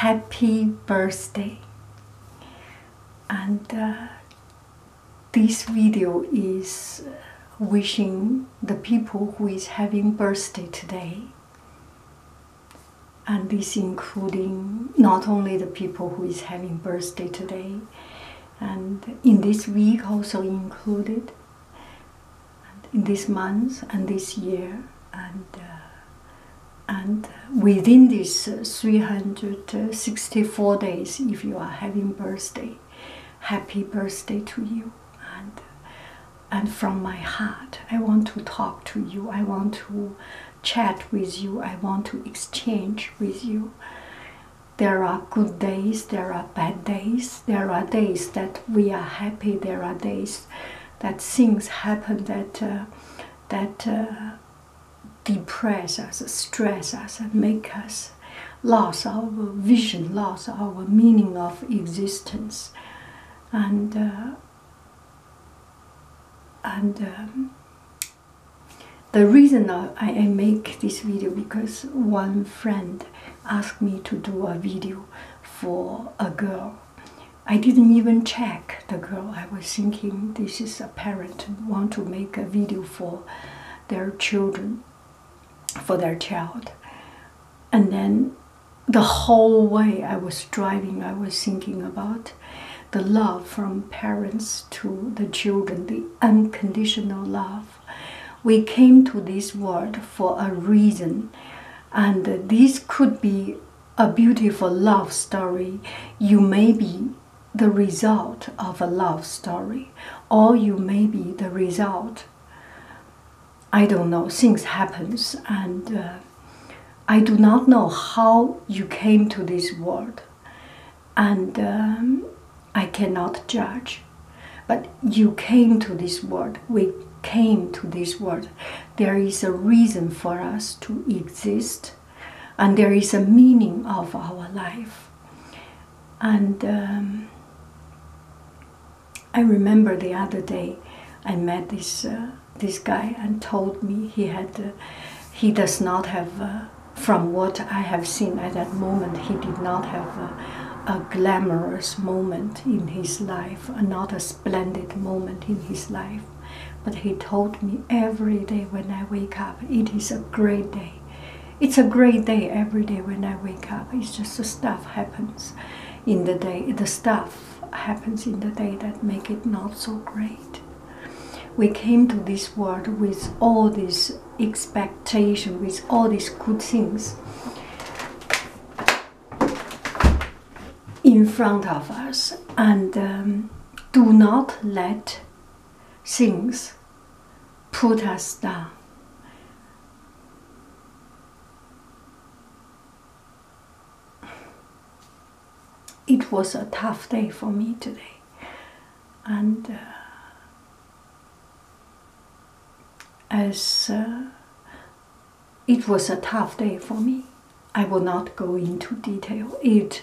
happy birthday and uh, this video is uh, wishing the people who is having birthday today and this including not only the people who is having birthday today and in this week also included in this month and this year and uh, and within these uh, 364 days if you are having birthday happy birthday to you and and from my heart i want to talk to you i want to chat with you i want to exchange with you there are good days there are bad days there are days that we are happy there are days that things happen that uh, that uh, depress us, stress us, and make us lose our vision, lose our meaning of existence, and uh, and. Um, the reason I make this video because one friend asked me to do a video for a girl I didn't even check the girl. I was thinking this is a parent want to make a video for their children, for their child. And then the whole way I was driving, I was thinking about the love from parents to the children, the unconditional love. We came to this world for a reason, and this could be a beautiful love story, you may be the result of a love story, or you may be the result. I don't know. Things happens, and uh, I do not know how you came to this world, and um, I cannot judge. But you came to this world. We came to this world there is a reason for us to exist and there is a meaning of our life and um, i remember the other day i met this uh, this guy and told me he had uh, he does not have uh, from what i have seen at that moment he did not have a, a glamorous moment in his life not a splendid moment in his life. But he told me every day when I wake up, it is a great day. It's a great day every day when I wake up. It's just the stuff happens in the day. The stuff happens in the day that make it not so great. We came to this world with all this expectation, with all these good things in front of us and um, do not let things put us down. It was a tough day for me today, and uh, as uh, it was a tough day for me. I will not go into detail. It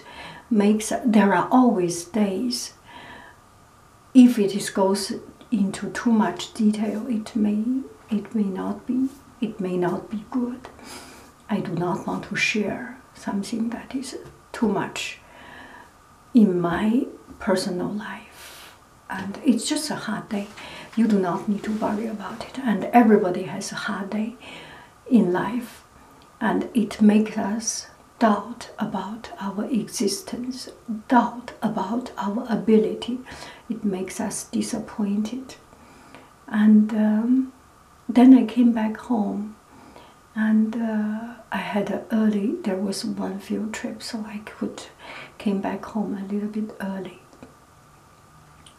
makes there are always days. If it goes into too much detail, it may it may not be it may not be good. I do not want to share something that is too much in my personal life, and it's just a hard day. You do not need to worry about it. And everybody has a hard day in life, and it makes us doubt about our existence, doubt about our ability. It makes us disappointed. And um, then I came back home, and uh, I had early. There was one field trip, so I could came back home a little bit early.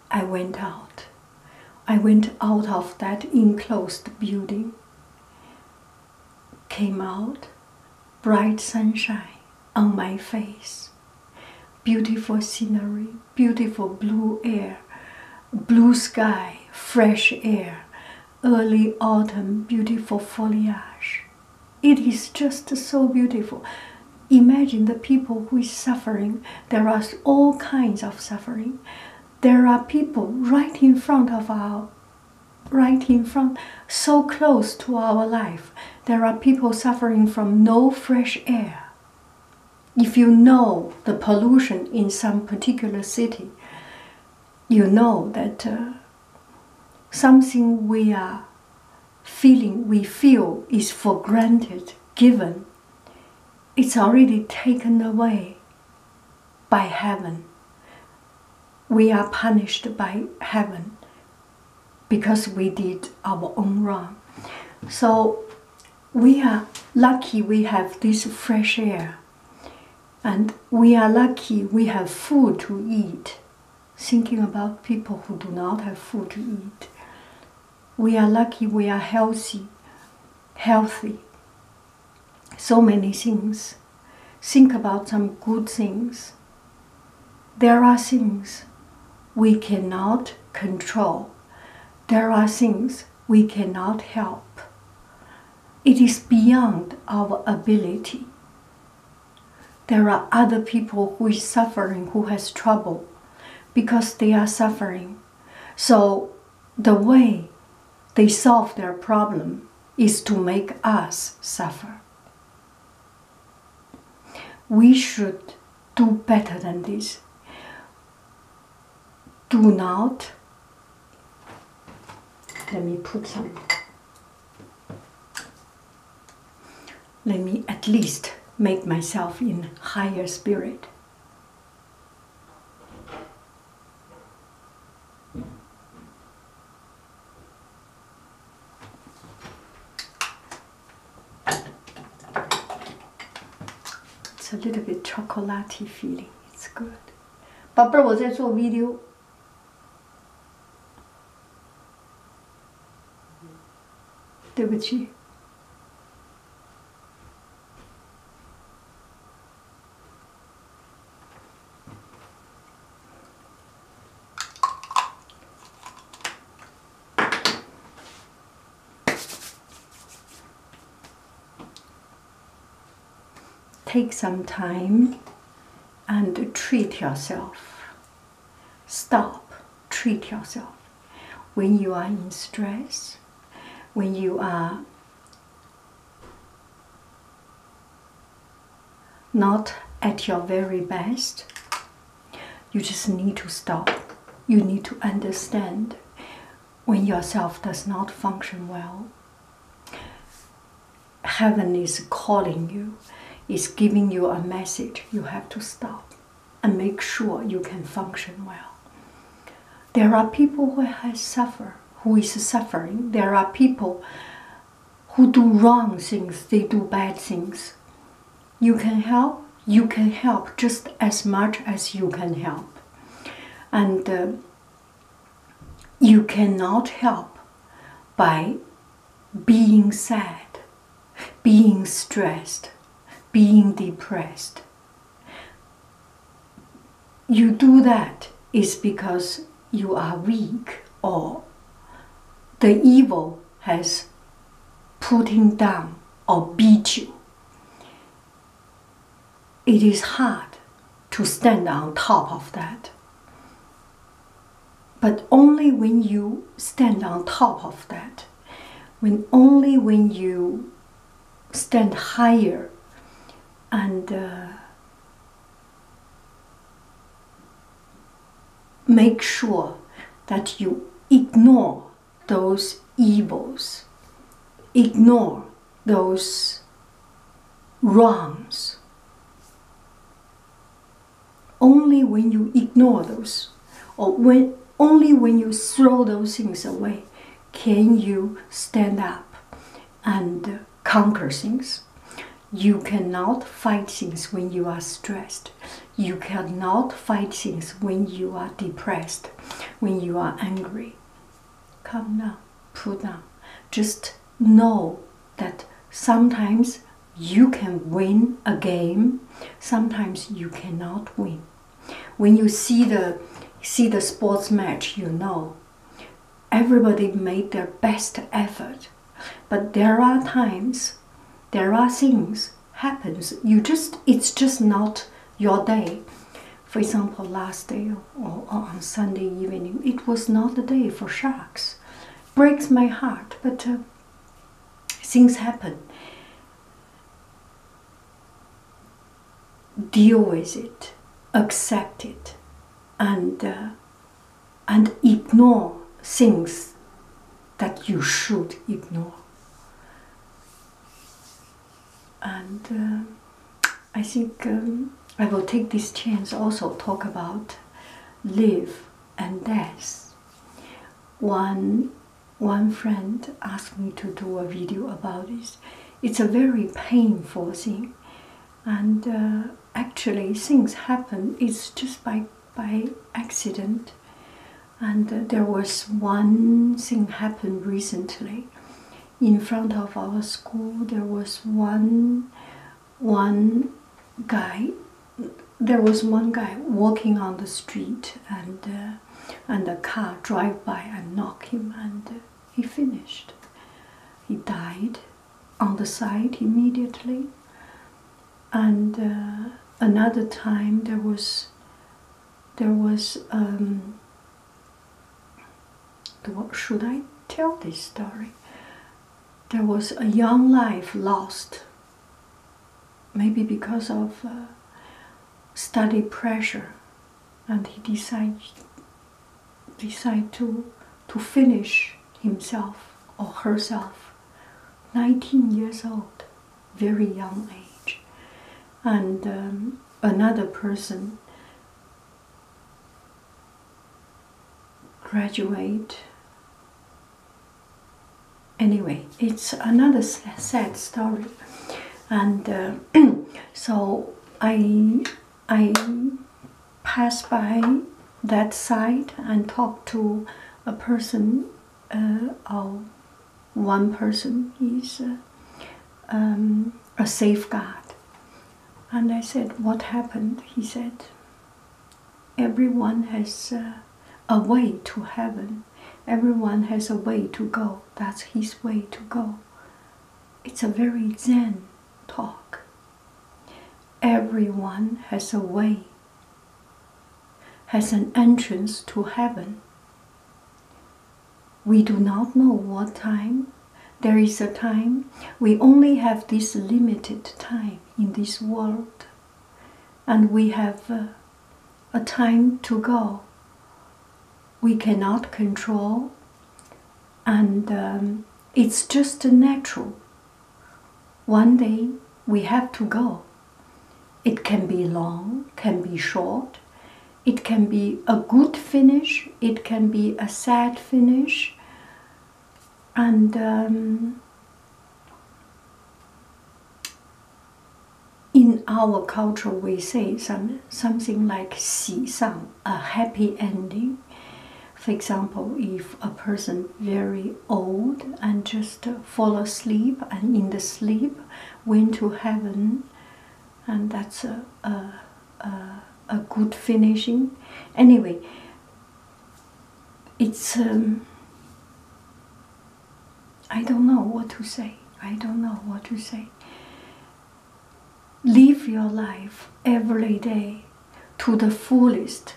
I went out. I went out of that enclosed building, came out, bright sunshine on my face, beautiful scenery, beautiful blue air, blue sky, fresh air, early autumn, beautiful foliage. It is just so beautiful imagine the people who is suffering. There are all kinds of suffering. There are people right in front of our right in front, so close to our life. There are people suffering from no fresh air. If you know the pollution in some particular city, you know that uh, something we are feeling we feel is for granted, given, it's already taken away by heaven. We are punished by heaven because we did our own wrong. So we are lucky we have this fresh air. And we are lucky we have food to eat. Thinking about people who do not have food to eat we are lucky we are healthy, healthy. So many things. Think about some good things. There are things we cannot control. There are things we cannot help. It is beyond our ability. There are other people who is suffering, who has trouble because they are suffering. So the way they solve their problem is to make us suffer. We should do better than this. Do not, let me put some let me at least make myself in higher spirit. It's a little bit chocolaty feeling. It's good. a video。Take some time and treat yourself. Stop, treat yourself. When you are in stress, when you are not at your very best, you just need to stop. You need to understand when yourself does not function well. Heaven is calling you, is giving you a message. You have to stop and make sure you can function well. There are people who has suffer, who is suffering. There are people who do wrong things, they do bad things. You can help, you can help just as much as you can help. And uh, you cannot help by being sad being stressed, being depressed. You do that is because you are weak or the evil has put him down or beat you. It is hard to stand on top of that. But only when you stand on top of that, when only when you stand higher and uh, make sure that you ignore those evils, ignore those wrongs only when you ignore those or when only when you throw those things away can you stand up and conquer things you cannot fight things when you are stressed you cannot fight things when you are depressed when you are angry calm down put down just know that sometimes you can win a game sometimes you cannot win when you see the see the sports match you know everybody made their best effort but there are times there are things happens you just it's just not your day for example last day or, on sunday evening it was not the day for sharks breaks my heart but uh, things happen. Deal with it, accept it, and uh, and ignore things that you should ignore. And uh, I think um, I will take this chance also talk about live and death. One one friend asked me to do a video about this. It's a very painful thing, and uh, actually things happen. It's just by by accident, and uh, there was one thing happened recently. In front of our school, there was one one guy there was one guy walking on the street and uh, and a car drive by and knock him and uh, he finished he died on the side immediately and uh, another time there was there was um, should i tell this story there was a young life lost maybe because of uh, study pressure, and he decides decide to to finish himself or herself. 19 years old, very young age, and um, another person graduate Anyway, it's another sad story, and uh, so I I passed by that side and talk to a person, uh, one person. He's uh, um, a safeguard, and I said, "What happened?" He said, "Everyone has." Uh, a way to heaven. Everyone has a way to go. That's his way to go. It's a very Zen talk. Everyone has a way, has an entrance to heaven. We do not know what time. There is a time. We only have this limited time in this world. And we have uh, a time to go. We cannot control, and um, it's just natural. One day we have to go. It can be long, can be short, it can be a good finish, it can be a sad finish, and um, in our culture we say some, something like xi sang, a happy ending. For example, if a person very old and just fall asleep and in the sleep went to heaven, and that's a, a, a, a good finishing. Anyway, it's um, I don't know what to say. I don't know what to say. Live your life every day to the fullest,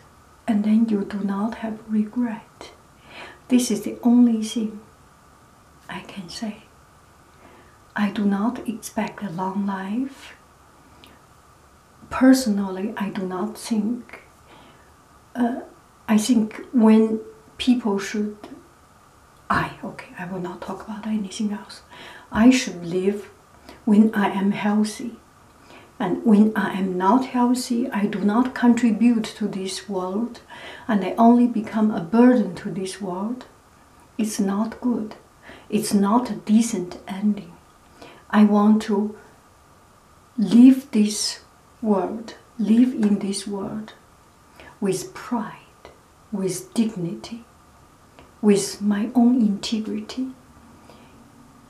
and then you do not have regret. This is the only thing I can say. I do not expect a long life. Personally, I do not think. Uh, I think when people should, I, okay, I will not talk about anything else. I should live when I am healthy. And when I am not healthy, I do not contribute to this world and I only become a burden to this world. It's not good. It's not a decent ending. I want to live this world, live in this world with pride, with dignity, with my own integrity.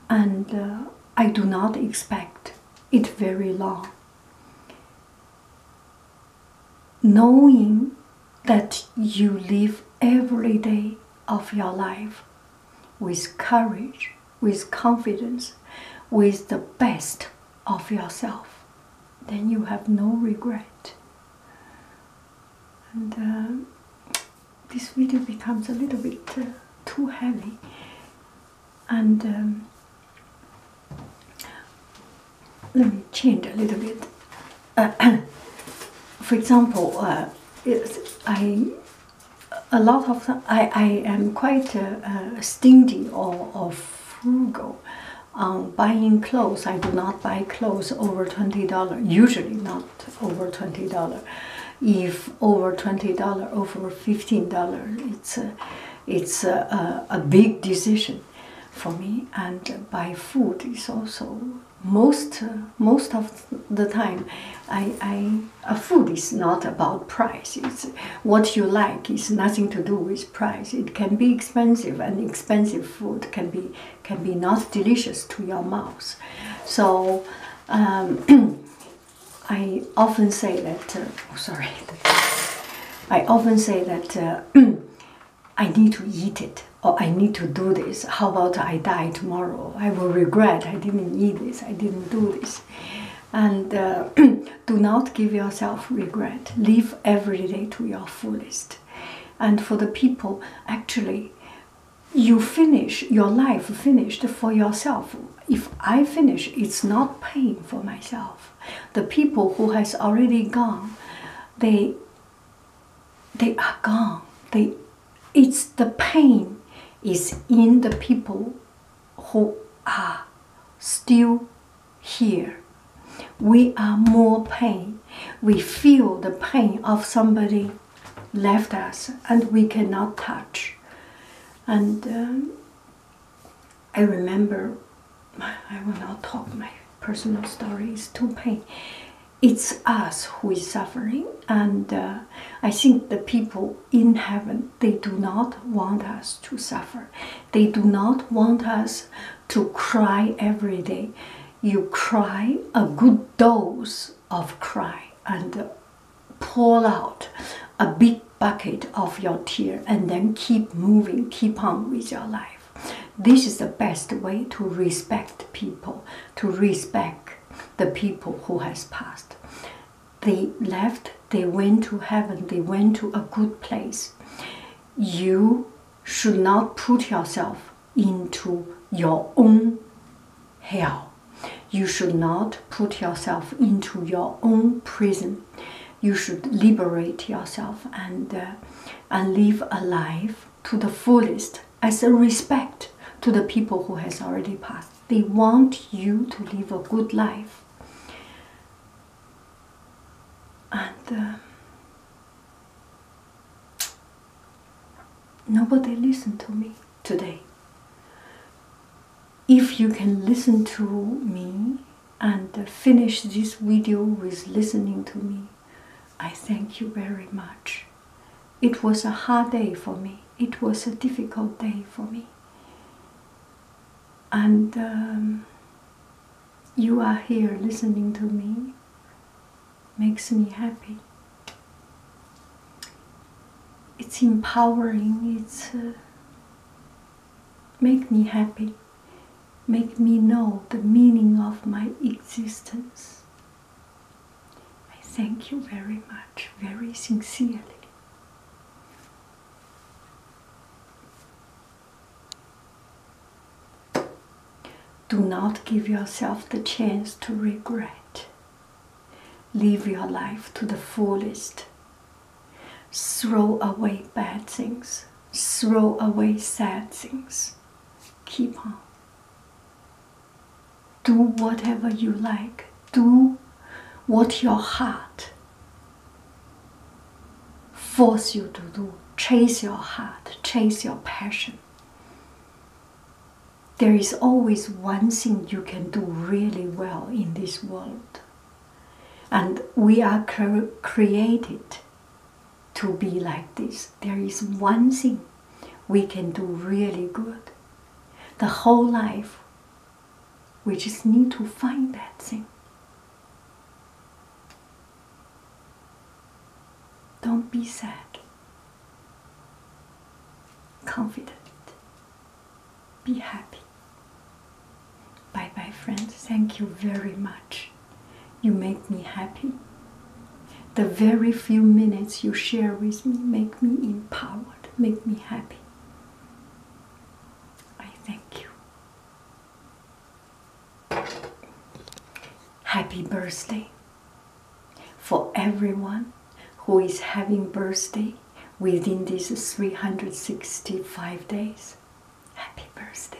And uh, I do not expect it very long. Knowing that you live every day of your life with courage with confidence, with the best of yourself, then you have no regret. And um, this video becomes a little bit uh, too heavy. And um, let me change a little bit. for example, uh, I a lot of I, I am quite uh, uh, stingy or, frugal on buying clothes. I do not buy clothes over $20, usually not over $20. If over $20, over $15, it's a, it's a, big decision for me. And buy food is also most most of the time I, I uh, food is not about price. It's what you like is nothing to do with price. It can be expensive, and expensive food can be can be not delicious to your mouth. So um, I often say that. Uh, oh, sorry. I often say that uh, I need to eat it or I need to do this. How about I die tomorrow? I will regret I didn't eat this. I didn't do this. And uh, do not give yourself regret. Live every day to your fullest. And for the people, actually, you finish your life finished for yourself. If I finish, it's not pain for myself. The people who has already gone, they they are gone. They it's the pain is in the people who are still here. We are more pain. We feel the pain of somebody left us and we cannot touch. And um, I remember, I will not talk my personal stories. it's too pain. It's us who is suffering, and uh, I think the people in heaven, they do not want us to suffer. They do not want us to cry every day. You cry a good dose of cry and pull out a big bucket of your tear and then keep moving, keep on with your life. This is the best way to respect people, to respect the people who has passed. They left, they went to heaven, they went to a good place. You should not put yourself into your own hell. You should not put yourself into your own prison. You should liberate yourself and, uh, and live a life to the fullest as a respect to the people who has already passed. They want you to live a good life and uh, nobody listened to me today if you can listen to me and uh, finish this video with listening to me i thank you very much it was a hard day for me it was a difficult day for me and um, you are here listening to me makes me happy. It's empowering, it's uh, make me happy, make me know the meaning of my existence. I thank you very much, very sincerely. Do not give yourself the chance to regret. Live your life to the fullest. Throw away bad things. Throw away sad things. Keep on. Do whatever you like. Do what your heart force you to do, chase your heart, chase your passion. There is always one thing you can do really well in this world. And we are created to be like this. There is one thing we can do really good. The whole life we just need to find that thing. Don't be sad. Confident. Be happy. Bye bye, friends. Thank you very much. You make me happy. The very few minutes you share with me make me empowered, make me happy. I thank you. Happy birthday for everyone who is having birthday within these 365 days. Happy birthday.